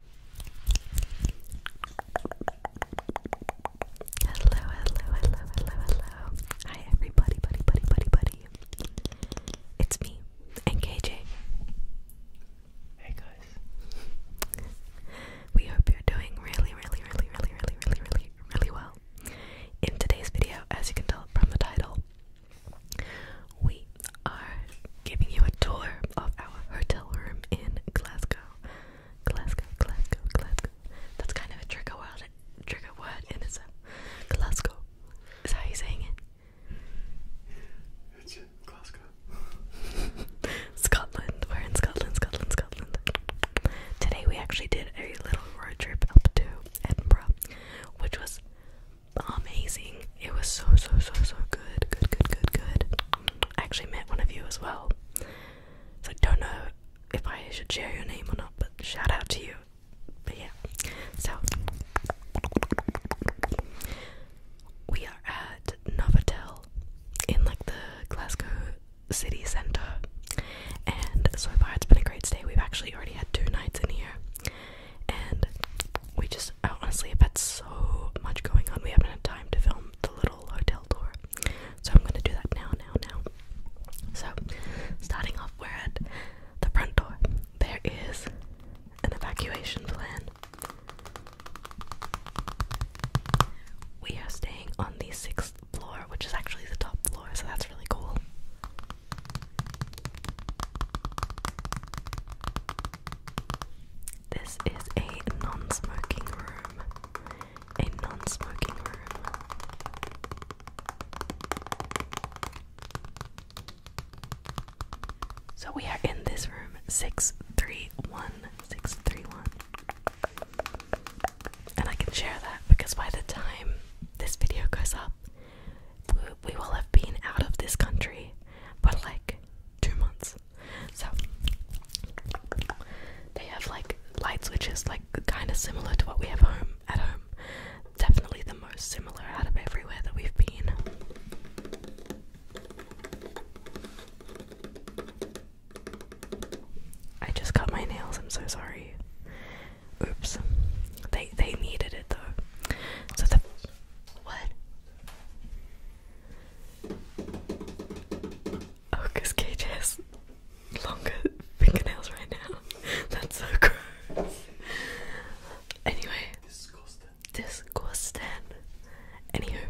Hello, hello, hello, hello, hello. Hi everybody, buddy, buddy, buddy, buddy. It's me and KJ. Hey guys. We hope you're doing really, really, really, really, really, really, really, really well. In today's video, as you can tell from the title, we are giving you a tour of our hotel room in Glasgow. Glasgow, Glasgow, Glasgow. That's kind of a trigger word, trigger word and it's a Glasgow. Is that how you say saying it? It's Glasgow. Scotland. We're in Scotland, Scotland, Scotland. Today we actually did a little road trip up to Edinburgh, which was amazing. It was so so so so good. Good good good good. I actually met one of you as well. So I don't know if I should share your name or not, but shout out to you. But yeah. So we are at Novotel in like the Glasgow city centre. And so far it's been a great stay. We've actually already had two nights in here and we just honestly have had so much going on. We haven't had time to film the little hotel tour, so I'm gonna do that now, now, now. So, starting off, we're at the front door. There is an evacuation plan. We are staying on the sixth floor, which is actually the top floor, so that's really cool. This is a non smoking room. A non smoking room. So we are in this room 631. 631. And I can share that because by the time this video goes up, we will have been out of this country for like two months. So they have like light switches, like kind of similar to what we have home at home. Definitely the most similar out of everywhere that we've been. I just cut my nails. I'm so sorry. Oops. They they needed it though. So the what? Oh, because Cage longer fingernails right now. That's so gross. Anyway, disgusting. Disgusting. Anywho,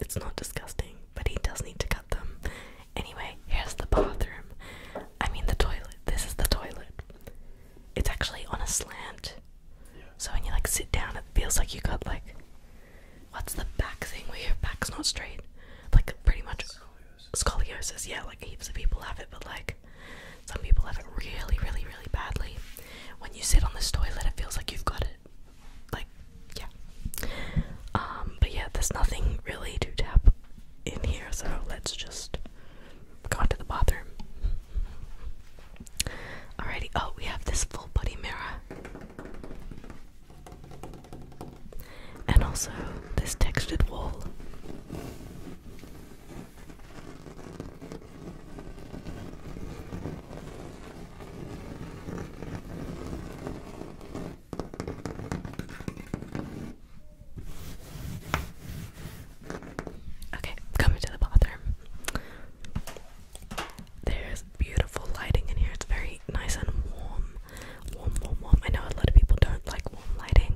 it's not disgusting, but he does need to cut them. Anyway, here's the bathroom. I mean, the toilet. This is the toilet. It's actually on a slant. So when you like sit down, it feels like you got like, what's the back thing where your back's not straight? Like pretty much scoliosis. scoliosis. Yeah, like heaps of people have it, but like some people have it really, really, really badly. When you sit on this toilet, it feels like you've got it. Like, yeah. Um, but yeah, there's nothing really to tap in here, so let's just gone to the bathroom. Alrighty, oh, we have this full body mirror. And also this textured wall. Okay, coming to the bathroom. There's beautiful lighting in here. It's very nice and warm. Warm, warm, warm. I know a lot of people don't like warm lighting.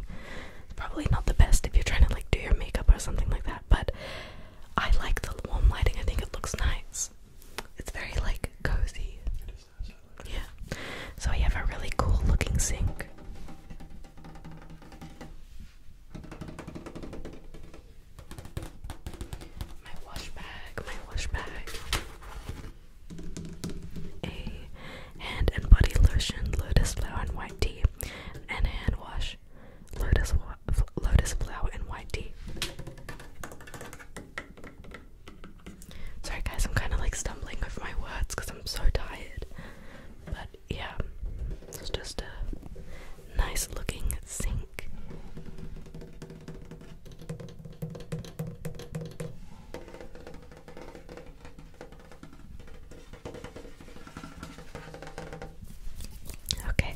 It's probably not the best if you're trying to like do your makeup or something like that, but I like the warm lighting. I think it looks nice. It's very like cozy. Yeah. So we have a really cool looking sink. My wash bag, my wash bag. A hand and body lotion, lotus flower and white tea, and hand wash, lotus lotus flower and white tea. Sorry guys, I'm kind of like stumbling with my words because I'm so tired. But yeah, it's just a nice looking sink. Okay,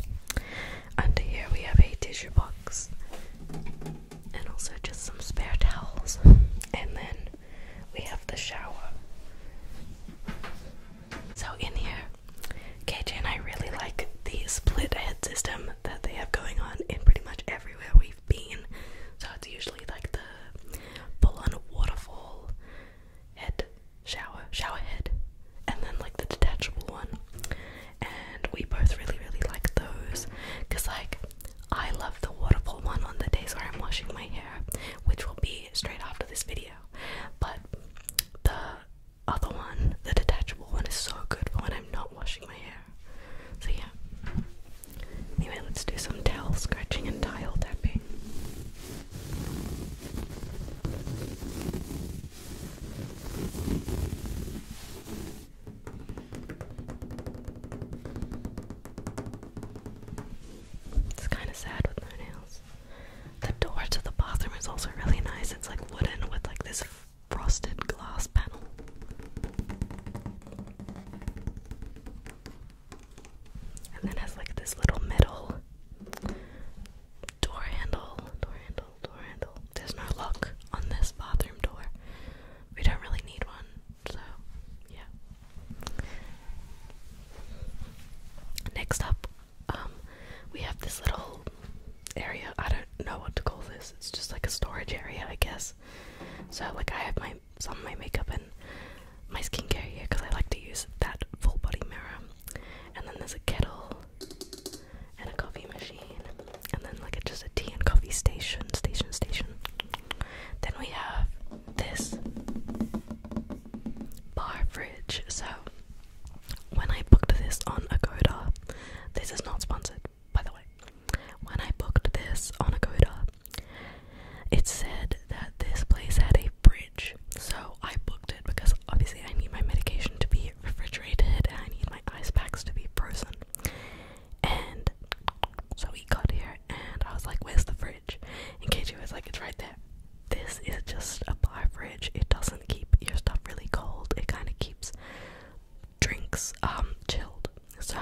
under here we have a tissue box and also just some spare towels, and then we have the shower. So in here, KJ and I really like the split head system that they have going on in pretty much everywhere we've been. So it's usually like the full-on waterfall head shower, shower head, and then like the detachable one. And we both really, really like those because like I love the waterfall one on the days where I'm washing my hair, which will be straight after this video. But the other one, the detachable one, is so good for when I'm not washing my hair. So, yeah. Anyway, let's do some towel scratching and tile tapping. It's kind of sad with no nails. The door to the bathroom is also really nice. It's like wooden with like this frosted glass panel. And then has like this little middle door handle, door handle, door handle. There's no lock on this bathroom door. We don't really need one. So, yeah. Next up, um, we have this little area. I don't know what to call this. It's just like a storage area, I guess. So, like, I have my some of my makeup and my skincare here because I like to use that full body mirror. And then there's a kettle and a coffee machine, and then like a, just a tea and coffee station, station, station. Then we have this bar fridge. So when I booked this on Agoda, this is not sponsored, by the way. When I booked this on Agoda, it said that this place had a fridge. So I booked it because obviously I need my medication to be refrigerated and I need my ice packs to be frozen. And so we got here and I was like, Where's the fridge? And KJ was like, It's right there. This is just a bar fridge. It doesn't keep your stuff really cold. It kinda keeps drinks um, chilled. So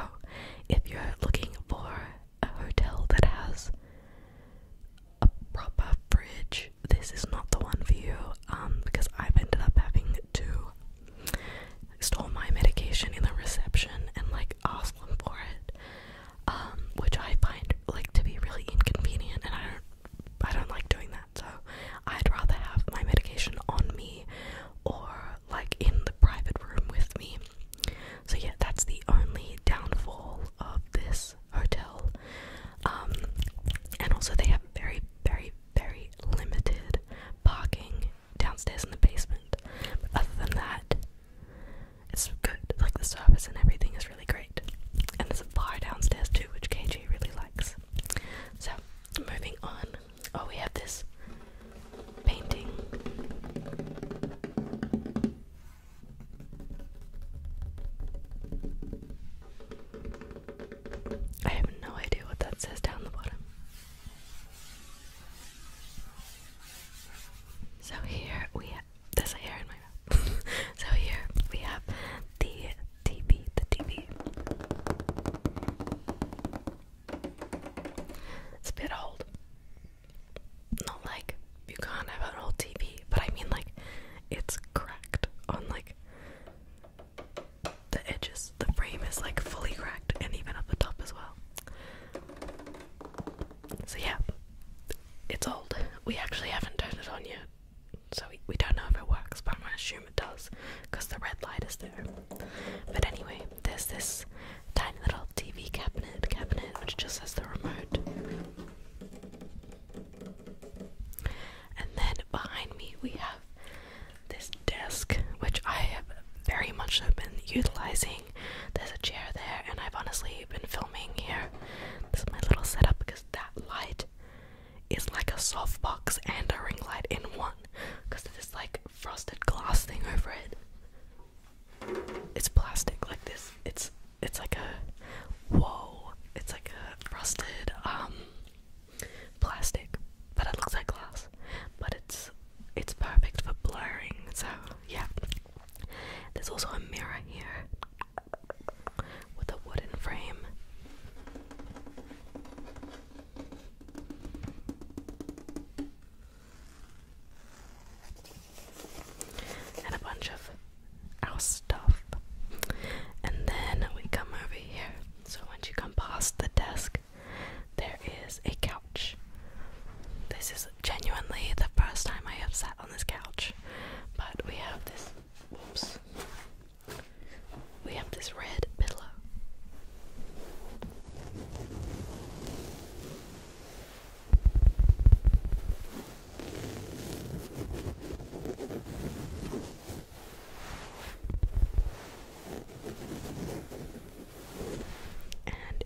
if you're looking for a hotel that has a proper fridge, this is not the one for you, um, because I've ended up having to stole my medication in the reception and like asked them for it, um, which I find like to be really inconvenient, and I don't, I don't like doing that. So I'd rather have my medication on me or like in the private room with me. So yeah, that's the only downfall of this hotel. Um, and also they have very, very, very limited parking downstairs in the basement. But other than that, it's good. Like the service and everything is really great. And there's a bar downstairs too, which KG really likes. So, moving on. Oh, we have this painting. I have no idea what that says down the bottom. So here we have there's a hair in my mouth. so here we have the TV, the TV. It's a bit old. Not like you can't have an old TV, but I mean like it's cracked on like the edges, the frame is like fully cracked, and even at the top as well. So, yeah, it's old. We actually haven't turned it on yet, so we, we don't know if it works, but I'm gonna assume it does because the red light is there. But anyway, there's this tiny little TV cabinet cabinet which just has the remote. And then behind me we have this desk, which I have very much been utilizing. There's a chair there, and I've honestly been filming here. This is my little setup because that light is like a softbox and a ring light in one because of this like frosted glass thing over it. It's plastic like this. It's it's like a whoa. It's like a frosted um plastic, but it looks like glass. But it's it's perfect for blurring. So yeah. There's also a mirror here with a wooden frame. And a bunch of our stuff. And then we come over here. So once you come past the desk, there is a couch. This is genuinely the first time I have sat on this couch. But we have this. Whoops. We have this red pillow. And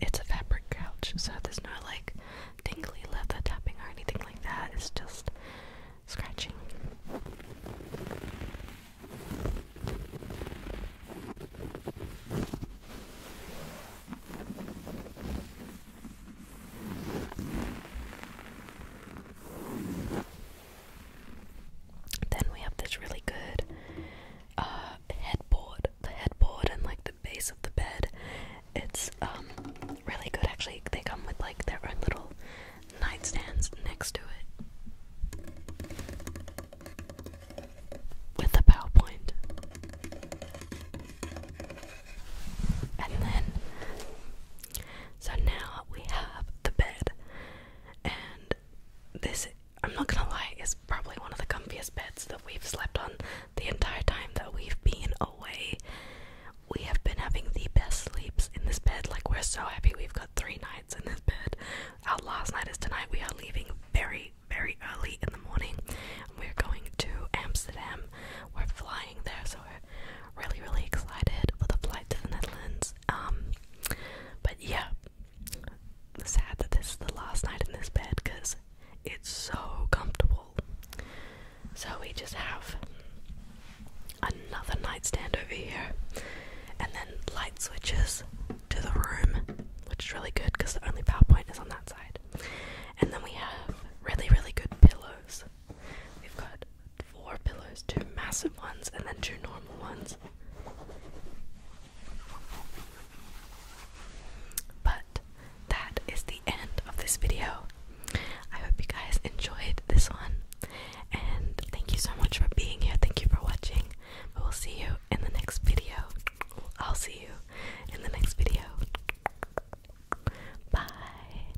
it's a fabric couch, so there's no like tingly leather tapping or anything like that. It's just scratching. Then we have this really good uh, headboard, the headboard and like the base of the bed. It's um, really good actually. They come with like their own little nightstands next to it with a PowerPoint. And then, so now we have the bed and this I'm not gonna lie is probably one of the comfiest beds that we've slept on the entire time that we've been away. We have been having the best sleeps in this bed. Like we're so happy we've got three nights in this bed. Our last night is tonight. We are leaving very, very early in the morning. We're going to Amsterdam. We're flying there, so really, really excited for the flight to the Netherlands. Um, but yeah, sad that this is the last night in this bed because it's so comfortable. So we just have another nightstand over here, and then light switches to the room, which is really good because the only PowerPoint is on that side. And then we have really, really good pillows. We've got four pillows two massive ones and then two normal ones. But that is the end of this video. I hope you guys enjoyed this one. And thank you so much for being here. Thank you for watching. We will see you in the next video. I'll see you in the next video. Bye.